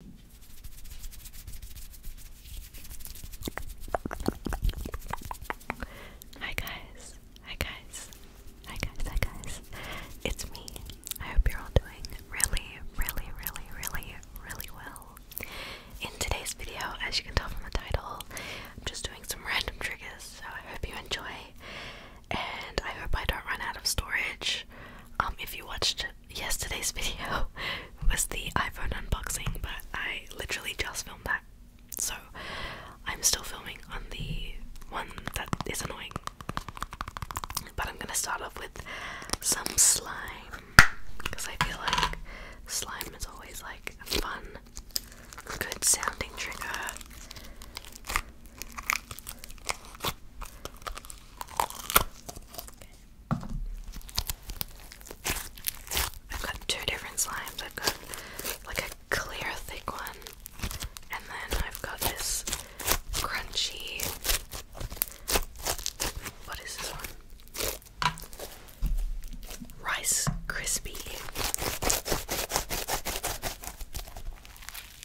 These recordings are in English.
Hi guys, hi guys, hi guys, hi guys. It's me. I hope you're all doing really, really, really, really, really well. In today's video, as you can tell from the title, I'm just doing some random triggers, so I hope you enjoy. And I hope I don't run out of storage. Um, if you watched yesterday's video was the iPhone unboxing, but I literally just filmed that. So I'm still filming on the one that is annoying. But I'm gonna start off with some slime because I feel like slime is always like a fun, good sounding trigger. I've got two different slimes. I've got like a clear thick one, and then I've got this crunchy. What is this one? Rice crispy.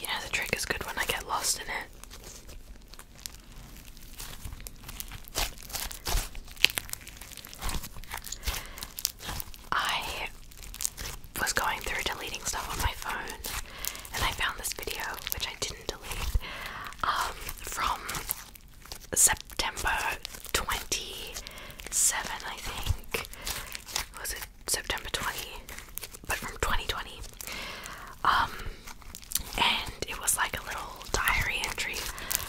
You know the trick is good when I get lost in it. I was going through deleting stuff on my phone and I found this video, which I didn't delete, um, from September 27, I think. Was it September 20? But from 2020 and it was like a little diary entry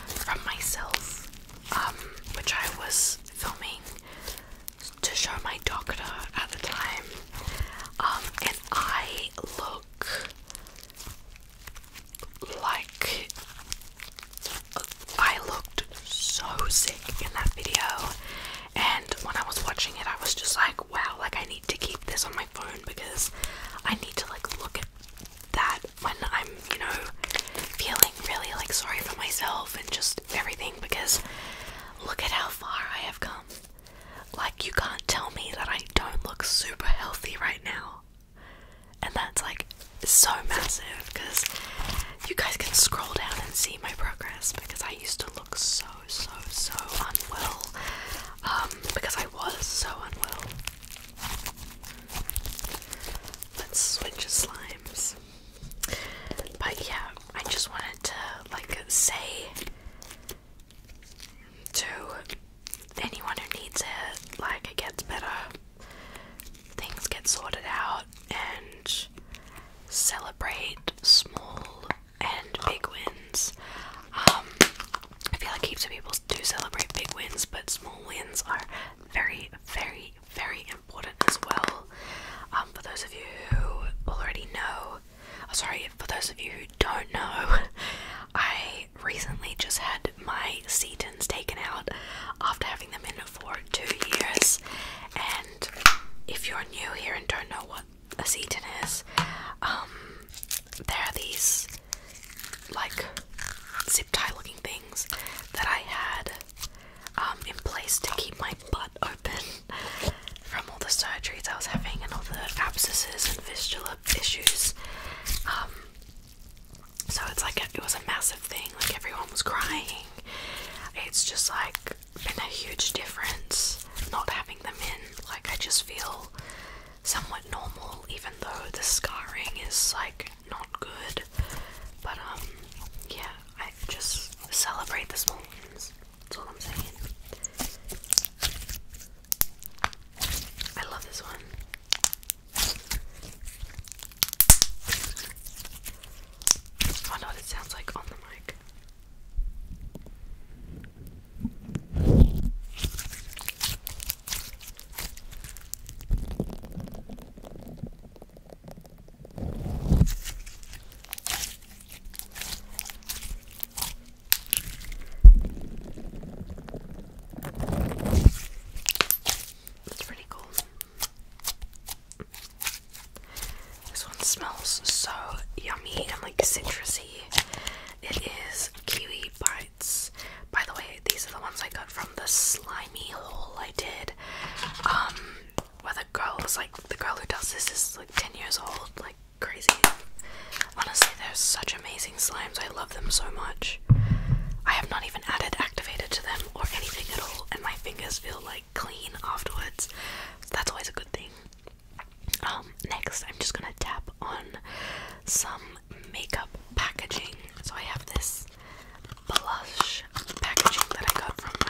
from myself, um, which I was filming to show my doctor at the time. Um, and I look like I looked so sick in that video, and when I was watching it, I was just like, wow, like I need to keep this on my phone because I need to like look at that when I'm, you know, feeling really like sorry for myself and just everything because look at how far I have come. Like, you can't tell me that I don't look super healthy right now. And that's like so massive because you guys can scroll down and see my progress because I used to look so, so, so unwell. Um, because I was so unwell. Let's switch slimes. But yeah, I just wanted to like say to anyone who needs it, like it gets better, things get sorted out, and celebrate small and big wins. Um, I feel like heaps of people channels do celebrate big wins, but small wins are very, very, very important as well. Um, for those of you who already know, oh, sorry, for those of you who don't know, I recently just had my Setons taken out after having them in for two years. And if you're new here and don't know what a Seton is, um, there are these like zip tie looking things that I had um, in place to keep my butt open from all the surgeries I was having and all the abscesses and fistula issues. Um, so it's like it was a massive thing. Like everyone was crying. It's just like been a huge difference not having them in. Like I just feel somewhat normal, even though the scarring is like not good. But um, yeah, I just celebrate the small wins. That's all I'm saying. I love this one. I oh, know what it sounds like on the mic. That's pretty cool. This one smells so yummy and like citrusy. It is these bites. By the way, these are the ones I got from the slimy hole I did. Um, where the girl was like, the girl who does this is like 10 years old, like crazy. Honestly, they're such amazing slimes. I love them so much. I have not even added activated to them or anything at all, and my fingers feel like clean afterwards. that's always a good thing. Um, next, I'm just gonna tap on some makeup packaging. So I have this blush packaging that I got from my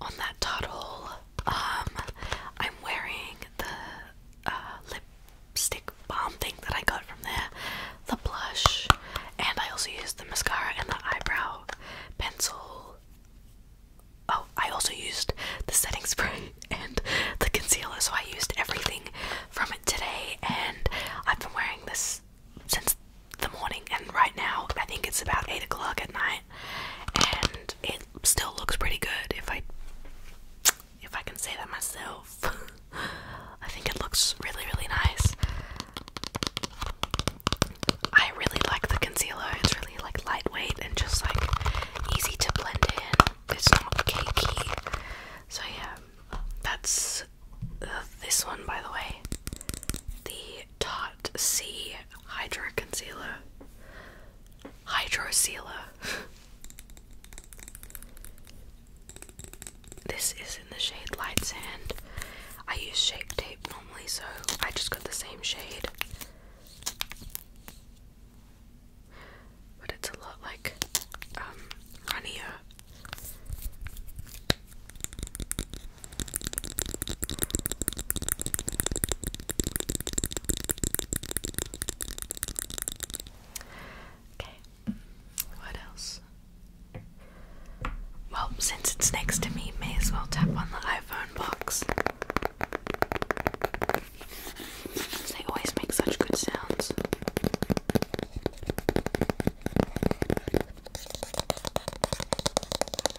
on that toddle, um, I'm wearing the uh, lipstick bomb thing that I got from there, the blush, and I also used the mascara and the eyebrow pencil. Oh, I also used the setting spray and the concealer, so I used everything from it today, and I've been wearing this since the morning, and right now I think it's about 8 o'clock at night, and it still looks pretty good if I if I can say that myself. I think it looks really really nice. I really like the concealer. It's really like lightweight and just like easy to blend in. It's not cakey. So yeah, that's uh, this one by the way. The Dot C Hydro Concealer. Hydro Sealer. this is in the shade Light Sand. I use shape tape normally, so I just got the same shade. But it's a lot like um, runnier. Okay, what else? Well, since it's next to me, may as well tap on the iPhone box. They always make such good sounds.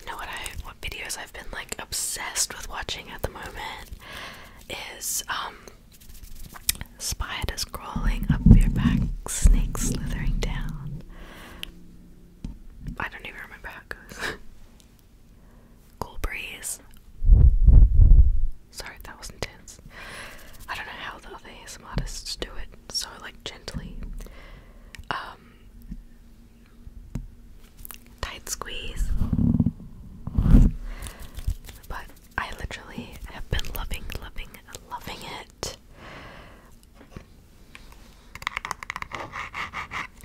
you know what I what videos I've been like obsessed with watching at the moment is um spiders crawling up your back, snake slithering down. I don't even remember how it goes. cool breeze. Sorry, that was intense. I don't know how the other artists do it so like gently. Um tight squeeze. But I literally have been loving, loving, loving it.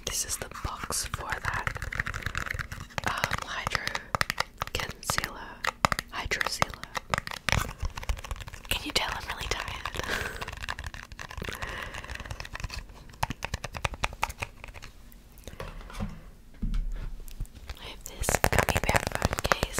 This is the box for that um, hydro Can you tell I'm really tired? I have this gummy bear phone case.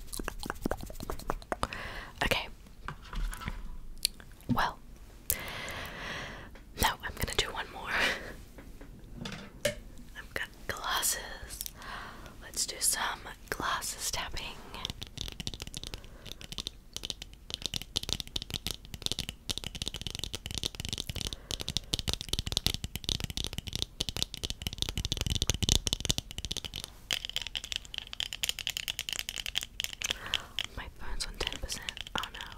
Okay. Well, no, I'm gonna do one more. I've got glasses. Let's do some glasses tapping. My phone's on ten percent. Oh no.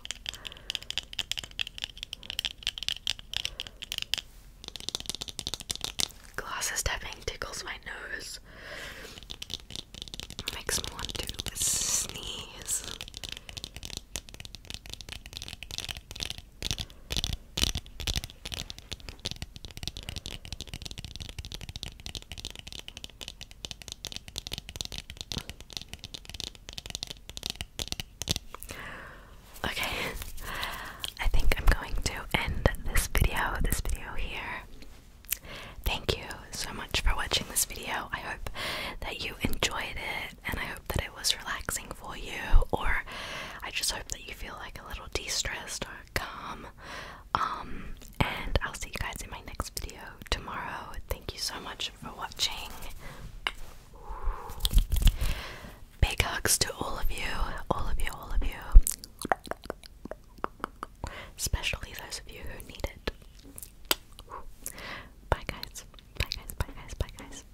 Glasses tapping tickles my nose. Makes me want to sneeze. Okay, I think I'm going to end this video, this video here. Thank you so much for watching this video. I hope that you enjoyed it and I hope that it was relaxing for you, or I just hope that you feel like a little de stressed or calm. Um, and I'll see you guys in my next video tomorrow. Thank you so much for watching. Big hugs to all of you, all of you, all of you, especially those of you who need it. Bye, guys. Bye, guys. Bye, guys. Bye, guys.